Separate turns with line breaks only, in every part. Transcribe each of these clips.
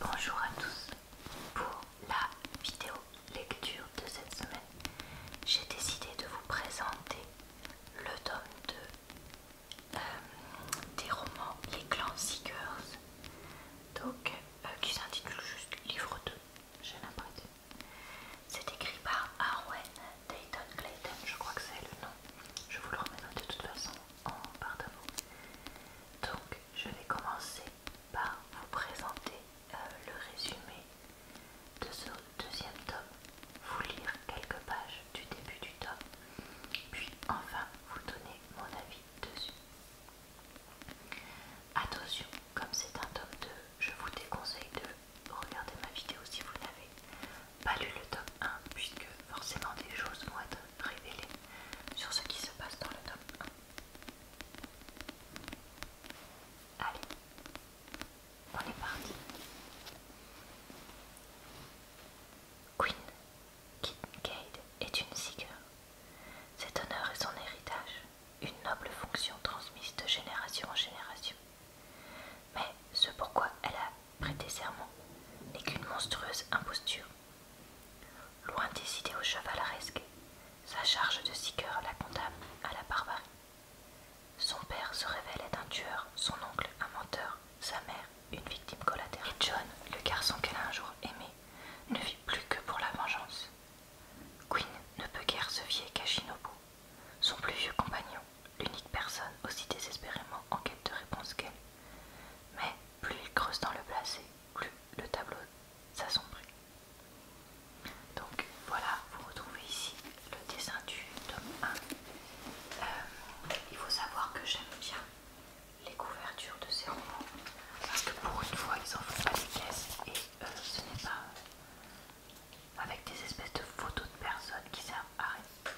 Bonjour à tous. Pour la vidéo lecture de cette semaine, j'ai décidé de vous présenter le tome 2 euh, des romans Les Clans Seekers, donc, euh, qui s'intitule juste Livre 2, j'ai l'impression. C'est écrit par Arwen Dayton Clayton, je crois que c'est le nom. Je vous le remettrai de toute façon en barre Donc, je vais commencer par vous présenter euh, le résumé de ce deuxième tome, vous lire quelques pages du début du tome, puis enfin vous donner mon avis dessus. Attention, comme c'est un tome 2, je vous déconseille de regarder ma vidéo si vous n'avez pas lu le tome 1, puisque forcément des choses vont être révélé sur ce qui se passe dans le tome 1. Allez, on est parti. Queen est une sigueur. Cet honneur est son héritage, une noble fonction transmise de génération en génération. Mais ce pourquoi elle a prêté serment n'est qu'une monstrueuse imposture Loin au cheval à risquer sa charge de siqueur la condamne à la barbarie. Son père se révélait un tueur, son oncle un menteur, sa mère une victime collatérale. John, le garçon qu'elle a un jour aimé, ne vit plus que pour la vengeance. Quinn ne peut guère se fier qu'à Shinobu, son plus vieux compagnon, l'unique personne aussi désespérément en quête de réponse qu'elle. Mais plus il creuse dans le placé, le tableau s'assombrit. Donc voilà, vous retrouvez ici le dessin du tome 1. Euh, il faut savoir que j'aime bien les couvertures de ces romans parce que pour une fois ils en font pas des caisses et euh, ce n'est pas euh, avec des espèces de photos de personnes qui servent à rien.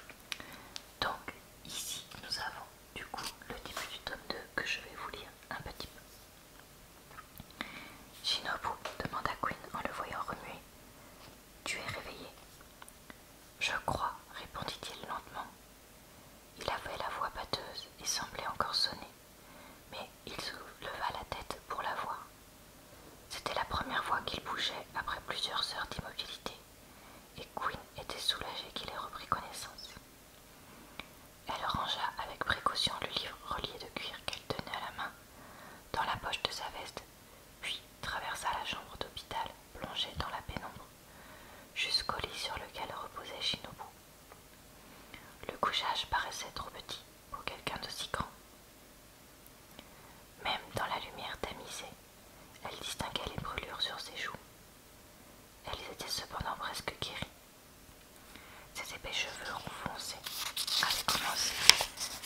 Donc ici nous avons du coup le début du tome 2 que je vais vous lire un petit peu. Shinobu demanda Queen en le voyant remuer. Tu es réveillé Je crois, répondit-il lentement. Il avait la voix batteuse et semblait encore sonner, mais il souleva la tête pour la voir. C'était la première fois qu'il bougeait après plusieurs heures d'immobilité, et Queen était soulagée qu'il ait repris connaissance. Elle rangea avec précaution le livre relié de cuir qu'elle tenait à la main dans la poche de sa veste, puis traversa la chambre d'hôpital plongée dans la pénombre, jusqu'au lit sur lequel reposait Shinobu. Le couchage paraissait trop petit pour quelqu'un d'aussi grand. Même dans la lumière tamisée, elle distinguait les brûlures sur ses joues elles était cependant presque guérie. Ses épais cheveux roux foncés avaient commencé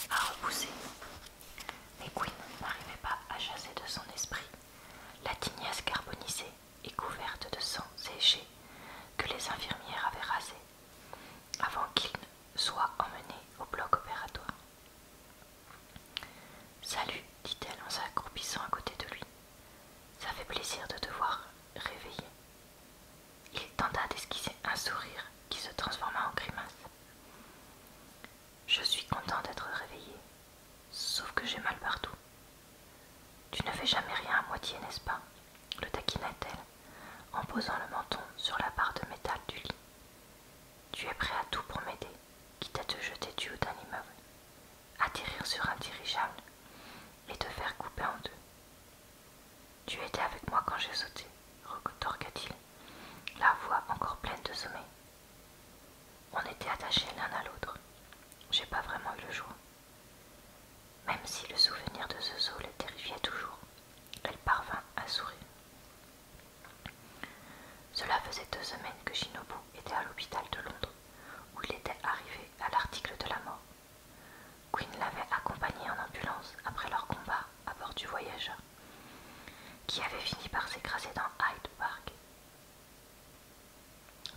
à repousser. Mais Quinn n'arrivait pas à chasser de son esprit la tignasse carbonisée et couverte de sang séché que les infirmières avaient rasé, avant qu'il ne soit emmené au bloc opératoire. Salut, dit-elle en s'accroupissant à côté de lui. Ça fait plaisir de te voir réveillé. Il tenta d'esquisser un sourire qui se transforma en grimace. Je suis content d'être réveillé, sauf que j'ai mal partout. Tu ne fais jamais rien à moitié, n'est-ce pas le taquina-t-elle en posant le menton sur la barre de métal du lit. Tu es prêt à tout pour m'aider quitte à te jeter du haut d'un immeuble, atterrir sur un dirigeable et te faire couper en deux. Tu étais avec moi quand j'ai sauté, retorqua-t-il, la voix encore pleine de sommeil. On était attachés l'un à l'autre. J'ai pas vraiment eu le choix. Même si le souvenir de ce saut la terrifiait toujours, elle parvint à sourire. Cela faisait deux semaines que Shinobu était à l'hôpital de Londres où il était arrivé à l'article de la mort. Quinn l'avait accompagnée en ambulance après leur combat à bord du voyageur, qui avait fini par s'écraser dans Hyde Park.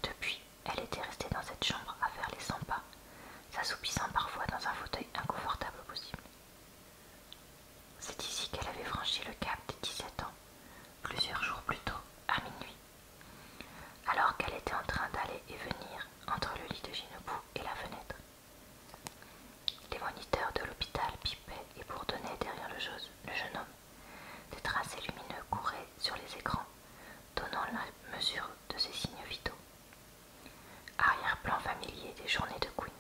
Depuis, elle était restée dans cette chambre à faire les 100 pas, s'assoupissant parfois dans un fauteuil inconfortable possible. C'est ici qu'elle avait franchi le cap des 17 ans, plusieurs jours plus tôt, à minuit, alors qu'elle était en train d'aller et venir entre le lit de Ginobu et la fenêtre. Les moniteurs de l'hôpital pipaient et bourdonnaient derrière le, le jeune homme. Des tracés lumineux couraient sur les écrans, donnant la mesure de ses signes vitaux. Arrière-plan familier des journées de Queen.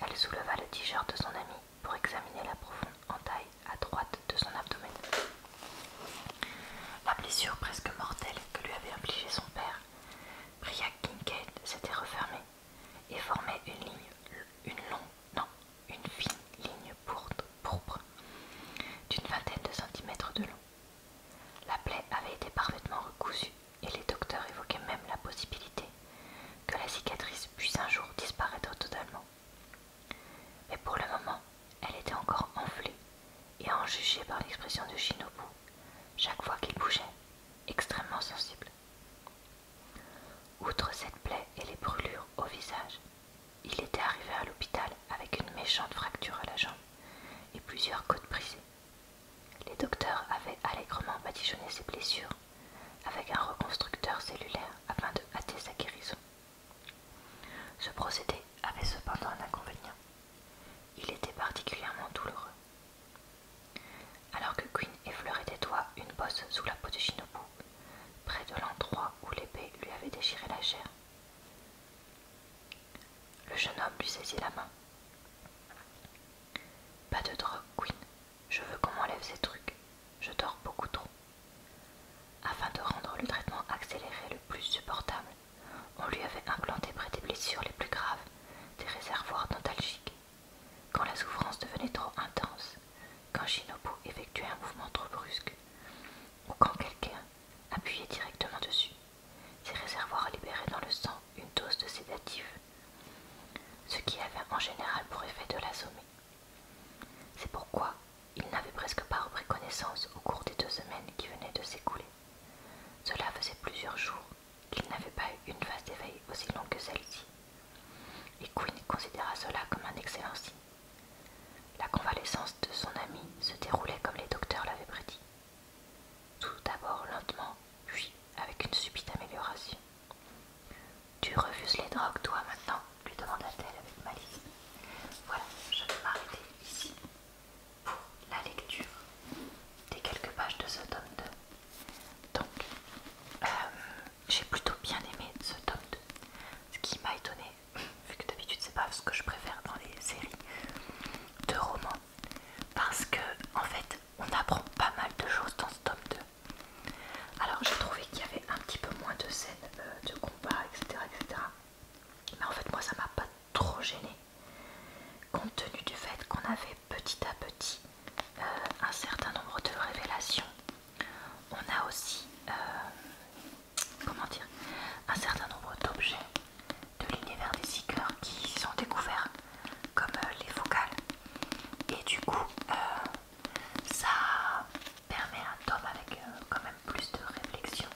Elle souleva le tigeur de son ami pour examiner la profonde entaille à droite de son abdomen. La blessure presque mortelle que lui avait infligée son père, Priya Kincaid s'était refermée et formait une ligne, une longue, non, une fine ligne pourpre d'une vingtaine de centimètres de long. La plaie avait été parfaitement recousue et les docteurs évoquaient même la possibilité que la cicatrice puisse un jour disparaître totalement. Mais pour le moment, elle était encore enflée, et à par l'expression de Shinobu, chaque fois qu'il bougeait, extrêmement sensible. Outre cette plaie et les brûlures au visage, il était arrivé à l'hôpital avec une méchante fracture à la jambe et plusieurs côtes brisées. Les docteurs avaient allègrement patichonné ses blessures avec un reconstructeur cellulaire afin de hâter sa guérison. Ce procédé avait cependant un inconvénient. Il était particulièrement douloureux. Alors que Quinn effleurait des doigts une bosse sous la peau de Shinobu, près de l'endroit où l'épée lui avait déchiré la chair, le jeune homme lui saisit la main. Pas de drogue, Quinn. Je veux qu'on m'enlève ces trucs. Je dors beaucoup trop. Afin de rendre le traitement accéléré le plus supportable, on lui avait implanté près des blessures les plus graves des réservoirs dentalgiques. Quand la souffrance devenait trop intense, quand Shinobu effectuait un mouvement trop brusque, ou quand quelqu'un appuyait directement dessus, ces réservoirs libéraient dans le sang une dose de sédatif, ce qui avait en général pour effet de l'assommer. C'est pourquoi il n'avait presque pas repris connaissance au cours des deux semaines qui venaient de s'écouler. Cela faisait plusieurs jours qu'il n'avait pas eu une phase d'éveil aussi longue que celle-ci, et Quinn considéra cela comme un excellent signe. La convalescence de son ami se déroulait comme les docteurs l'avaient prédit. Tout d'abord lentement, puis avec une subite amélioration. Tu refuses les drogues, toi, maintenant lui demanda-t-elle avec malice. Voilà, je vais m'arrêter ici pour la lecture des quelques pages de ce tome 2. Donc, euh, j'ai plutôt bien aimé ce tome 2, ce qui m'a étonné, vu que d'habitude c'est pas ce que je préfère dans les séries de romans, parce que en fait on apprend pas mal de choses dans ce tome 2. Alors j'ai trouvé qu'il y avait un petit peu moins de scènes euh, de combat, etc., etc. Mais en fait moi ça m'a pas trop gêné, compte tenu du fait qu'on avait petit à petit euh, un certain nombre de révélations. On a aussi, euh, comment dire, un certain nombre d'objets de l'univers des Seekers qui sont découverts, comme les focales. Et du coup, ça permet un tome avec euh, quand même plus de réflexion,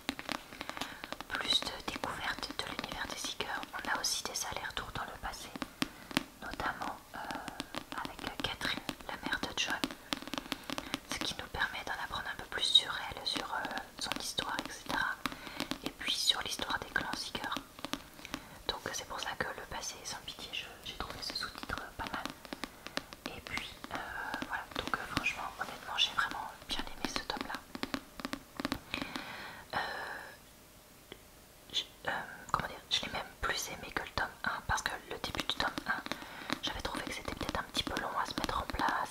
plus de découverte de l'univers des Seekers. On a aussi des allers-retours dans le passé, notamment euh, avec Catherine, la mère de John, ce qui nous permet d'en apprendre un peu plus sur elle, sur euh, son histoire, etc. Et puis sur l'histoire des clans Seekers. Donc c'est pour ça que le passé est sans pitié, j'ai trouvé ce sous-titre pas mal. Et puis euh, voilà, donc euh, franchement, honnêtement, j'ai vraiment bien aimé ce tome là. Euh, je, comment dire, je l'ai même plus aimé que le tome 1 parce que le début du tome 1, j'avais trouvé que c'était peut-être un petit peu long à se mettre en place,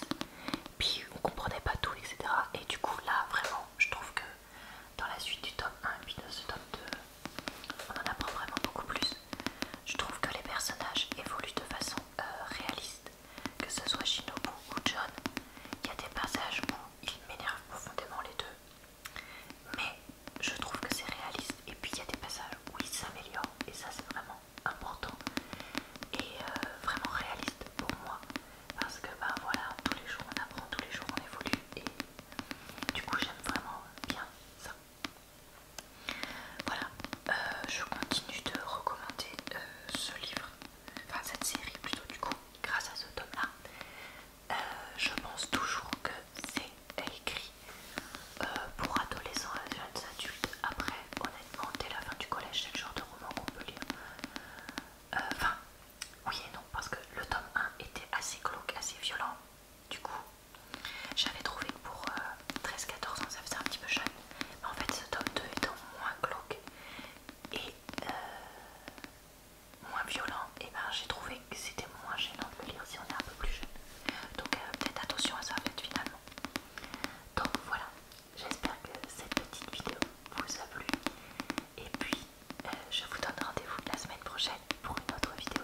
puis on comprenait pas tout, etc. Et du coup, là vraiment, je trouve que dans la suite du tome 1 et puis dans ce tome 2, on en apprend vraiment beaucoup plus. Je trouve que les personnages évoluent de façon euh, réaliste, que ce soit Shinobu ou John. Il y a des passages où ils m'énervent profondément les deux, mais je trouve que c'est réaliste. Et puis il y a des passages où ils s'améliorent, et ça c'est vraiment important et euh, vraiment réaliste pour moi, parce que bah voilà, tous les jours on apprend, tous les jours on évolue, et du coup j'aime vraiment bien ça. Voilà, euh, je continue de recommander euh, ce livre, enfin cette série plutôt du coup, grâce à ce tome-là. Euh, je pense toujours que c'est écrit pour adolescents et jeunes adultes. Après, honnêtement, dès la fin du collège, c'est le genre de roman qu'on peut lire. Enfin, oui et non, parce que le tome 1 était assez glauque, assez violent. Du coup, j'avais trouvé que pour 13-14 euh, ans, ça faisait un petit peu jeune. Mais en fait, ce tome 2 étant moins glauque et euh, moins violent, et eh ben j'ai trouvé que c'était moins gênant de le lire si on est un peu plus jeune. Donc peut-être attention à ça, en finalement. Donc voilà, j'espère que cette petite vidéo vous a plu. Et puis, euh, je vous donne rendez-vous la semaine prochaine pour une autre vidéo